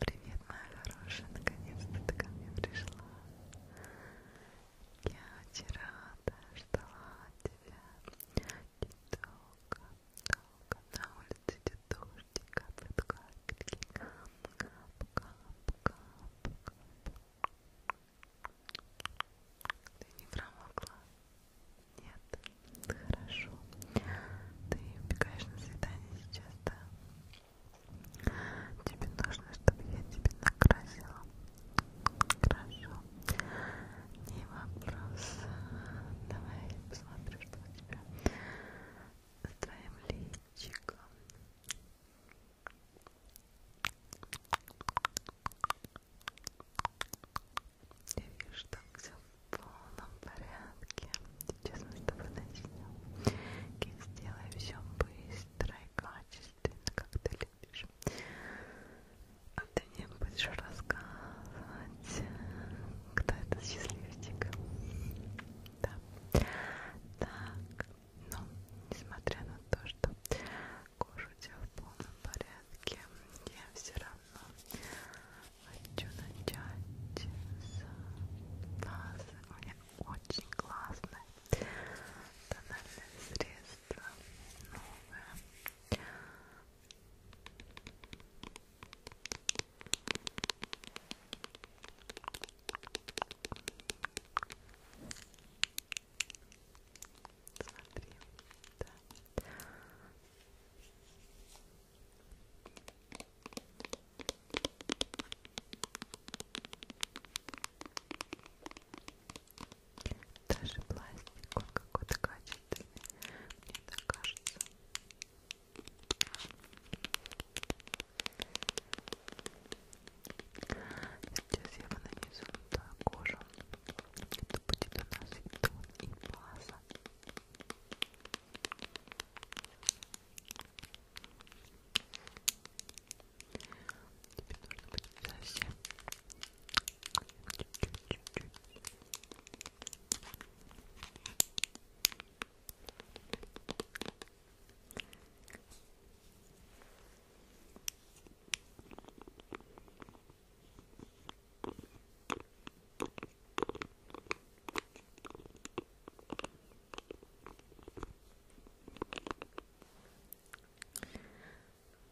Привет, моя хорошая, наконец-то ты ко мне пришла. Я очень рада, ждала тебя. И долго, долго на улице идет дождь, капает капельки, кап, кап, кап, кап. Ты не промокла? Нет? Хорошо. Ты убегаешь на свидание сейчас, да? Тебе нужно, чтобы я тебе накрасила. Хорошо. Не вопрос. Давай посмотрю, что у тебя с твоим личиком. Я вижу, что все в полном порядке. Сейчас мы с тобой начнем. И сделаем все быстро и качественно, как ты любишь. А ты мне будешь рассказывать, кто этот счастливчик. Да. Так, ну, несмотря на то, что кожа у тебя в полном порядке я все равно хочу начать с базы. У меня очень классное тональное средство новое. Смотри, да. Даже пластик, он какой-то качественный, мне так кажется. Сейчас я нанесу на кожу это будет у нас и тон, и база. Тебе нужно будет совсем чуть-чуть-чуть. Ой,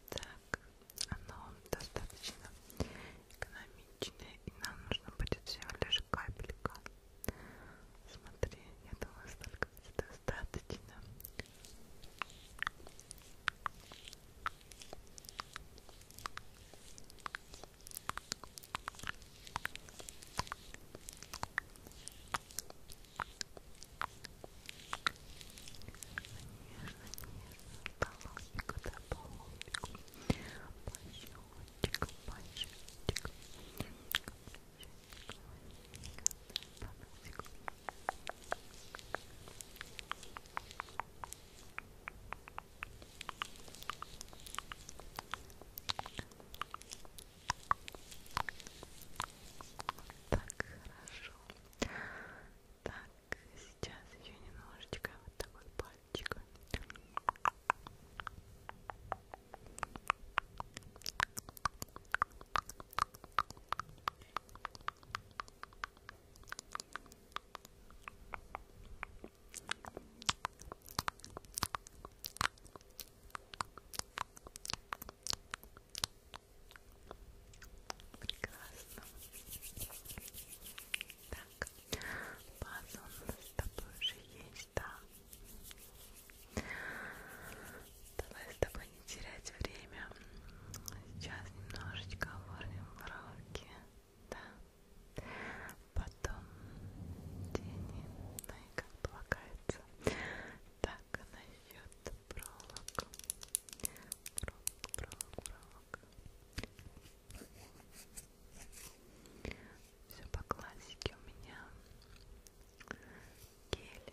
так, оно достаточно экономичное, и нам нужно будет всего лишь капелька. Смотри, я думаю, столько достаточно. Полоснику, да, полоснику. Пощечек, пощечек. Пощечек, пощечек, да, пощечек. Так, хорошо. Так, сейчас еще немножечко вот такой пальчик. Прекрасно. Так, база у нас с тобой уже есть, да? Давай с тобой не терять время, сейчас немножечко оформим бровки, да, потом тени, да и как полагается. Так, а насчет проволок, проволок, проволок, проволок. Все по классике у меня гель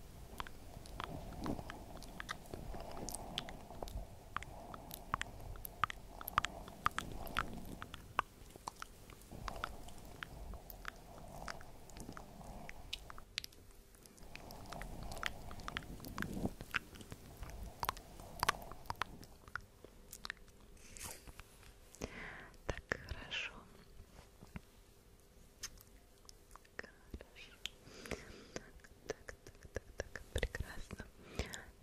Так, хорошо. Хорошо. Так, так, так, так, прекрасно.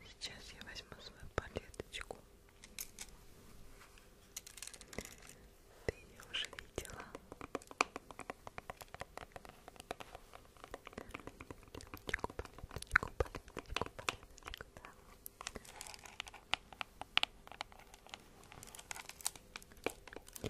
Сейчас я возьму свою палеточку. Ты ее уже видела. Палеточку, палеточку, палеточку, палеточку, да.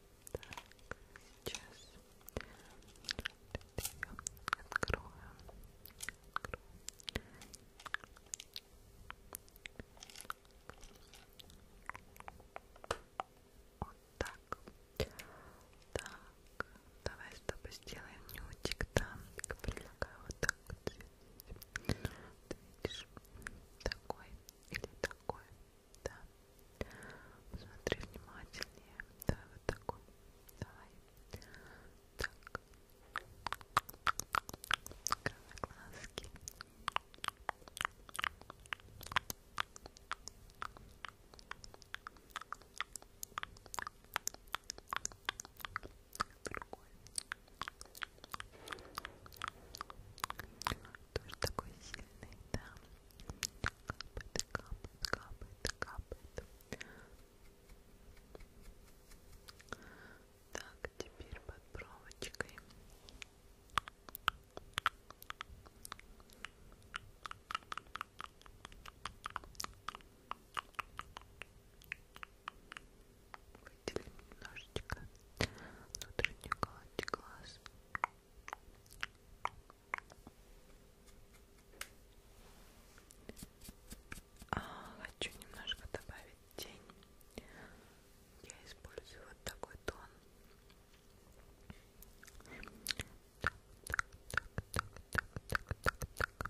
Так, сейчас ее открою. Вот так. Так, давай с тобой сделаем нютик там. Предлагаю вот так вот. Ты видишь, такой или такой. Да. Посмотри внимательнее. Давай вот такой. Давай. Так. Открывай глазки. Другой. Тоже такой сильный, да. Капает, капает, капает, капает. Так, теперь под проволочкой. Так, выделим немножечко внутреннюю гладь глаз а, хочу немножко добавить тень я использую вот такой тон так, так, так, так, так, так, так, так.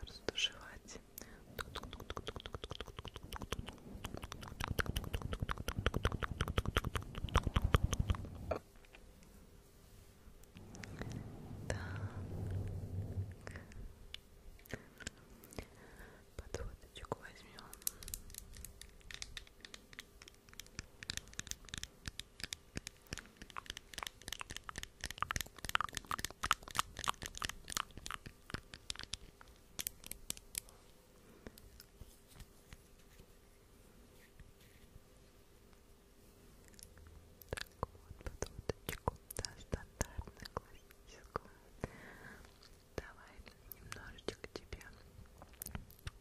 Раздушевать. Так. Подводочку возьмем подводочку, да, стандартную, классическую. Давай немножечко тебе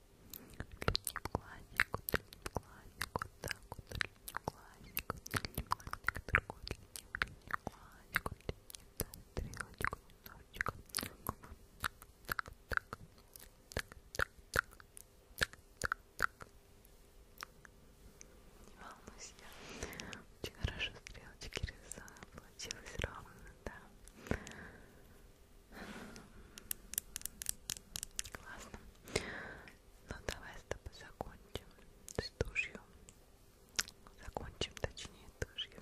Уточним классику, уточним классику, так, уточним классику, уточним классику, другой уточним, уточним классику, уточним, да, стрелочку, немножечко, так, так, так, так, так, так, так, так. Не волнуйся, очень хорошо стрелочки рисую, получилось ровно, да. Классно. Ну давай с тобой закончим с тушью. Закончим, точнее, тушью.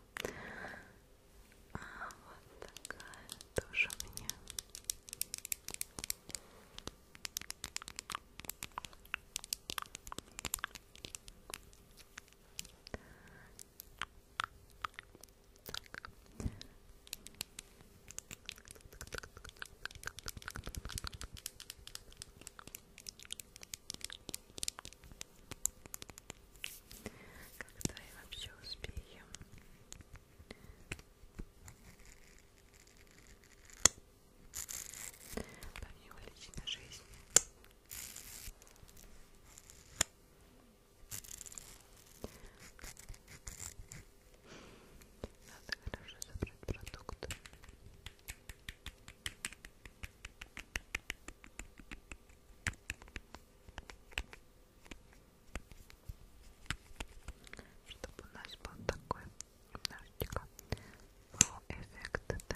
А вот такая тушь у меня. Когда я вообще успею? Помимо личной жизни надо хорошо собрать продукты. Чтобы у нас был такой немножечко эффект, да.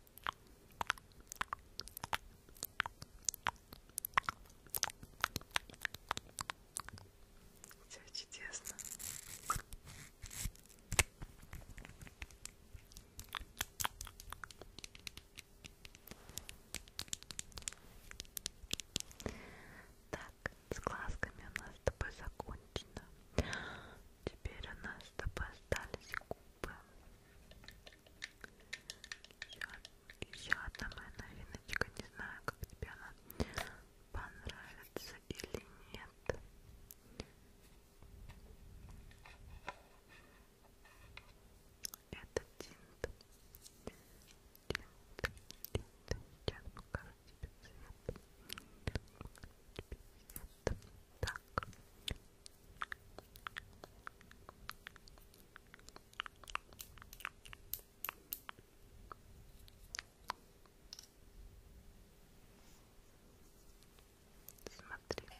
Все чудесно. Так, с глазками у нас с тобой закончено. Теперь у нас с тобой остались губы. Еще одна моя новиночка. Не знаю, как тебе она понравится или нет. Это тинт. Тинт, тинт. Сейчас покажу тебе цвет. Покажу тебе цвет. Так, Смотри,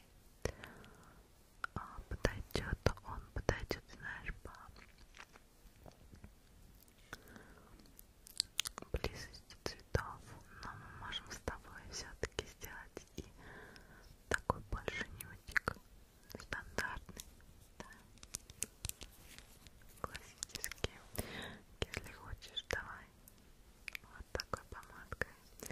а, подойдет он, подойдет, знаешь, по близости цветов, но мы можем с тобой все-таки сделать и такой больше нютик стандартный да? классический если хочешь давай вот такой помадкой так.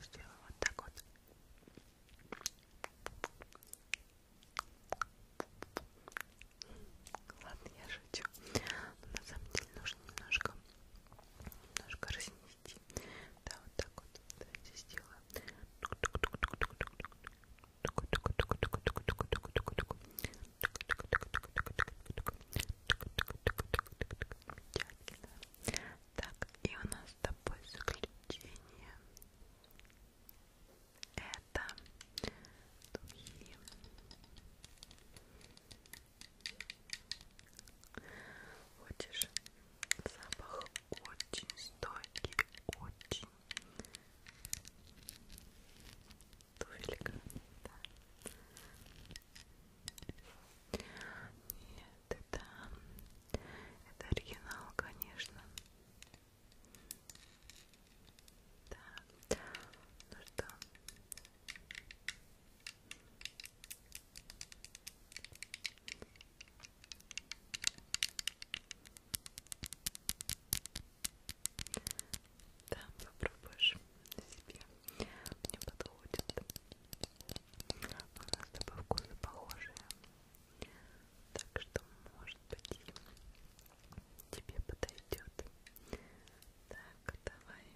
Сделаю вот так вот. Ладно, я шучу. Но на самом деле нужно немножко, немножко разнести. Да, вот так вот. Давайте сделаем замечательно. Так, и у нас с тобой заключение. Это духи. Хочешь, запах очень стойкий, очень туфелька, да. Нет, это... Это оригинал, конечно. Да. Ну что? Да, попробуешь себе. Мне подходит. У нас с тобой вкусы похожие. Так что, может быть, тебе подойдет. Так, давай.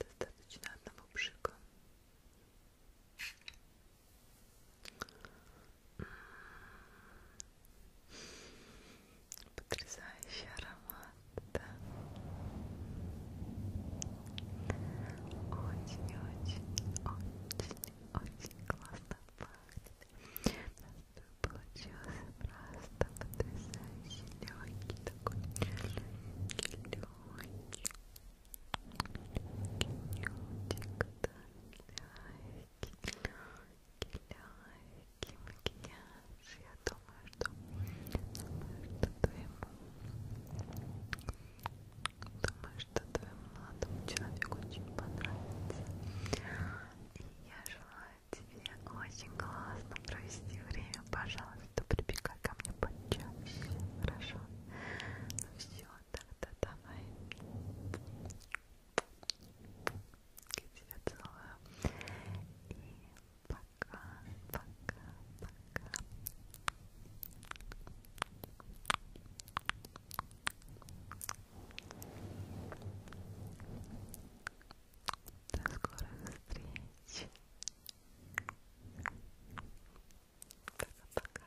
Достаточно одного пшика. Потрясающий аромат, да? Очень-очень-очень-очень классно пахнет. Получился просто потрясающий легкий такой легкий, легкий, легкий нютик, да, легкий, легкий, легкий макияж. Я думаю, что, думаю, что твоему, думаю, что твоему молодому человеку очень понравится. И я желаю тебе очень классно провести время. Пожалуйста, прибегай ко мне почаще. Хорошо? Ну все, тогда давай. Я тебя целую. И пока, пока, пока. До скорых встреч. Пока-пока.